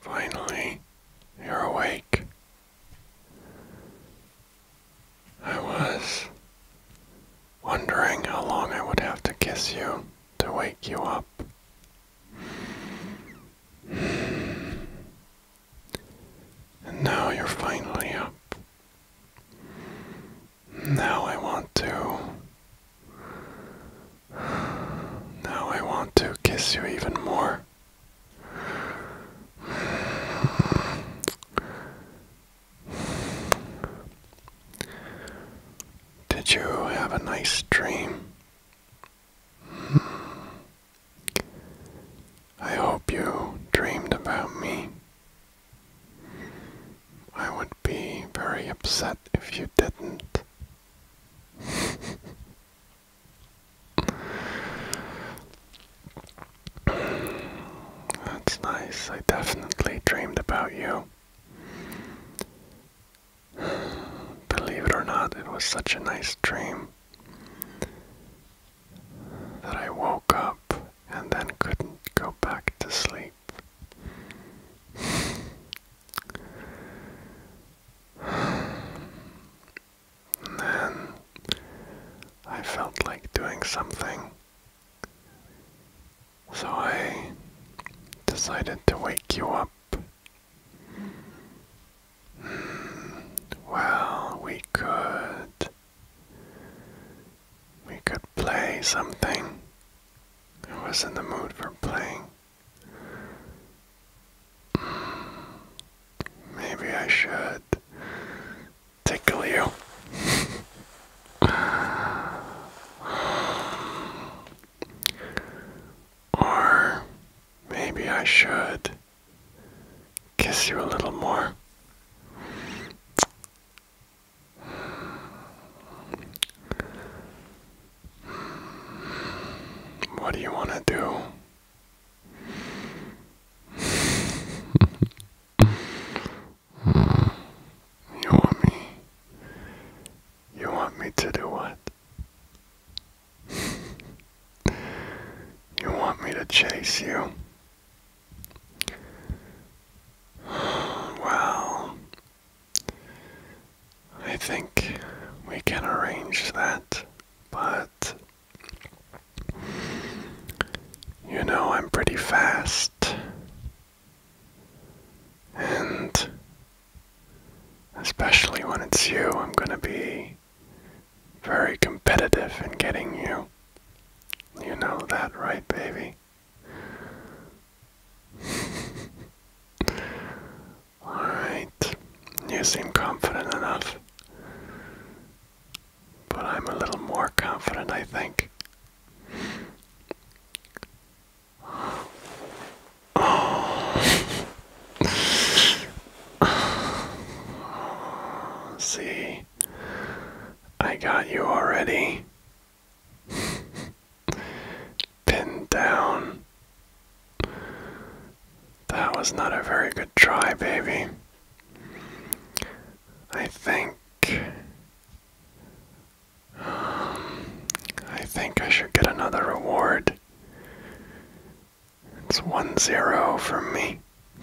Finally, you're awake. I was wondering how long I would have to kiss you to wake you up. And now you're finally up. Now I want to. Now I want to kiss you even more. Did you have a nice dream? I hope you dreamed about me. I would be very upset if you didn't. That's nice. I definitely dreamed about you. Believe it or not, it was such a nice dream that I woke up and then couldn't go back to sleep. then I felt like doing something. So I decided to wake you up well, we could. We could play something. I was in the mood for playing. Maybe I should tickle you. or maybe I should kiss you a little more. What do you want to do? you want me? You want me to do what? you want me to chase you? Well, I think we can arrange that, but you know I'm pretty fast. And Especially when it's you, I'm gonna be very competitive in getting you. You know that, right, baby? Alright, you seem confident enough. But I'm a little more confident, I think. See, I got you already. Pinned down. That was not a very good try, baby. I think. Um, I think I should get another reward. It's 1 0 from me.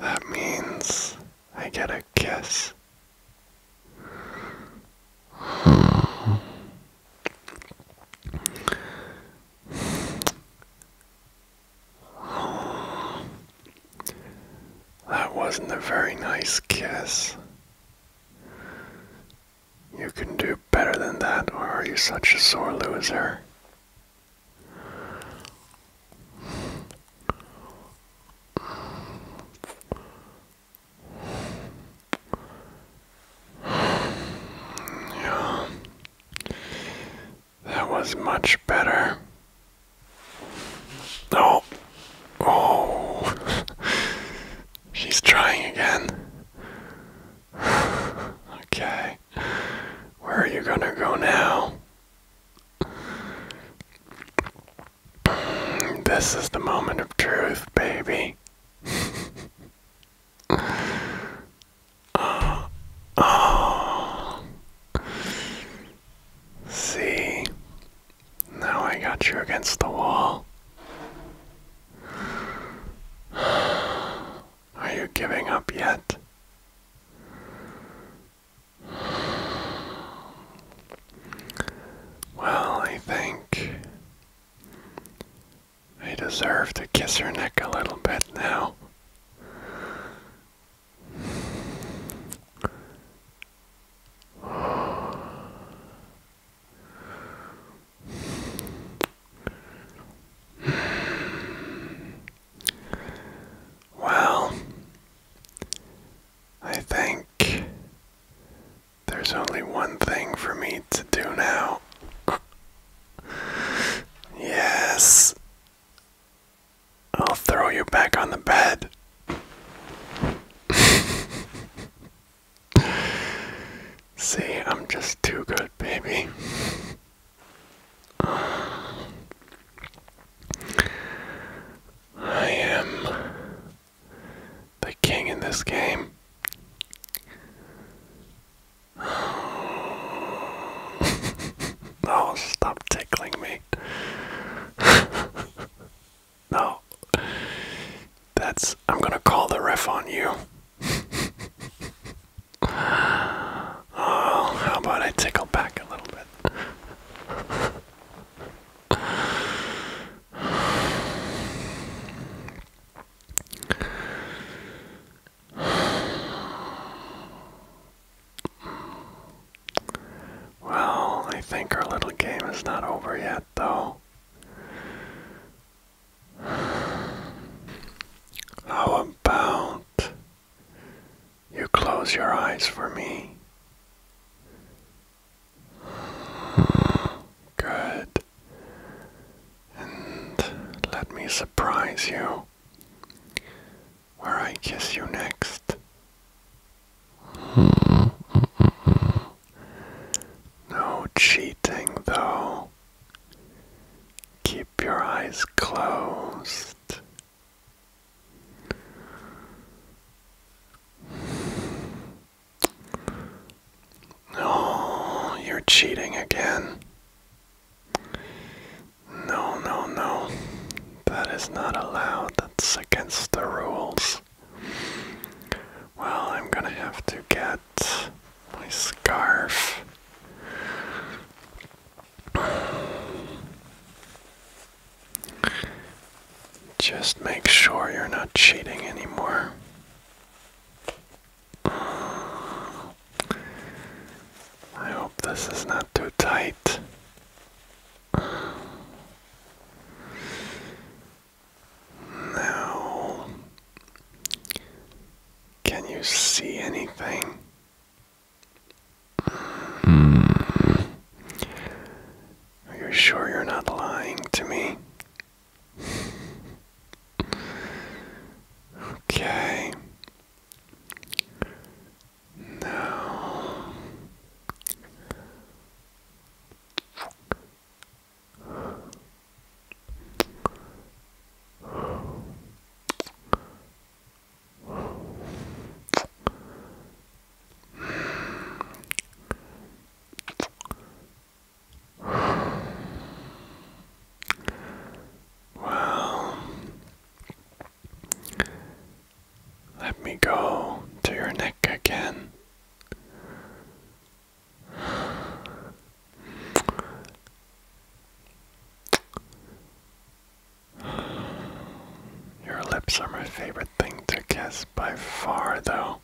that means I get a kiss. That wasn't a very nice kiss. You can do better than that, or are you such a sore loser? Yeah. That was much better. Oh. Oh. She's trying again. okay. Where are you gonna go now? This is the moment of truth, baby. oh. oh. See, now I got you against the wall. Are you giving up yet? Well, I think I deserve to kiss her neck a little bit now. Well, I think there's only one thing for me to do now. Yes. I'll throw you back on the bed. See, I'm just too good, baby. I am the king in this game. oh, stop tickling me. No. That's. I'm gonna call the ref on you. oh, how about I tickle back a little bit? Well, I think our little game is not over yet, though. How about you close your eyes for me? Good. And let me surprise you where I kiss you next. Hmm. No cheating, though. Keep your eyes closed. Oh, you're cheating again. No, no, no. That is not allowed. That's against the rules. Well, I'm gonna have to get my scarf. Just make sure you're not cheating anymore. I hope this is not too tight. Now, can you see anything? Hmm. Are you sure you're not lying to me? Okay. No. well, let me go to your neck again. Your lips are my favorite thing to kiss by far, though.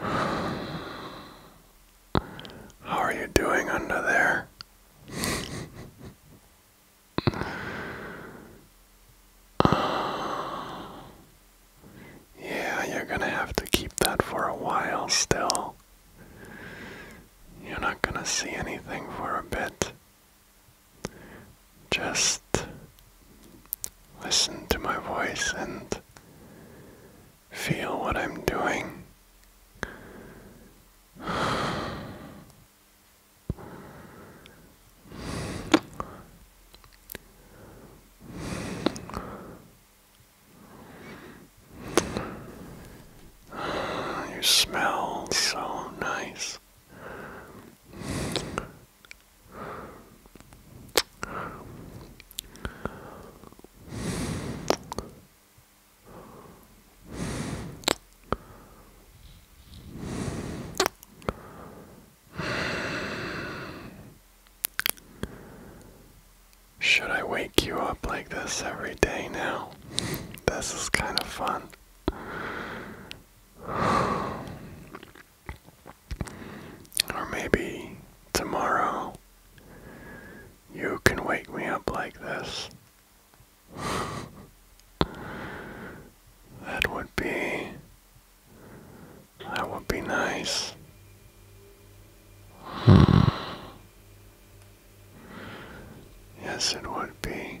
How are you doing under there? yeah, you're gonna have to keep that for a while still. You're not gonna see anything for a bit just listen to my voice and feel what I'm doing. You smell so nice. Should I wake you up like this every day now? This is kind of fun. Or maybe tomorrow you can wake me up like this. that would be. That would be nice. Yes, it would be.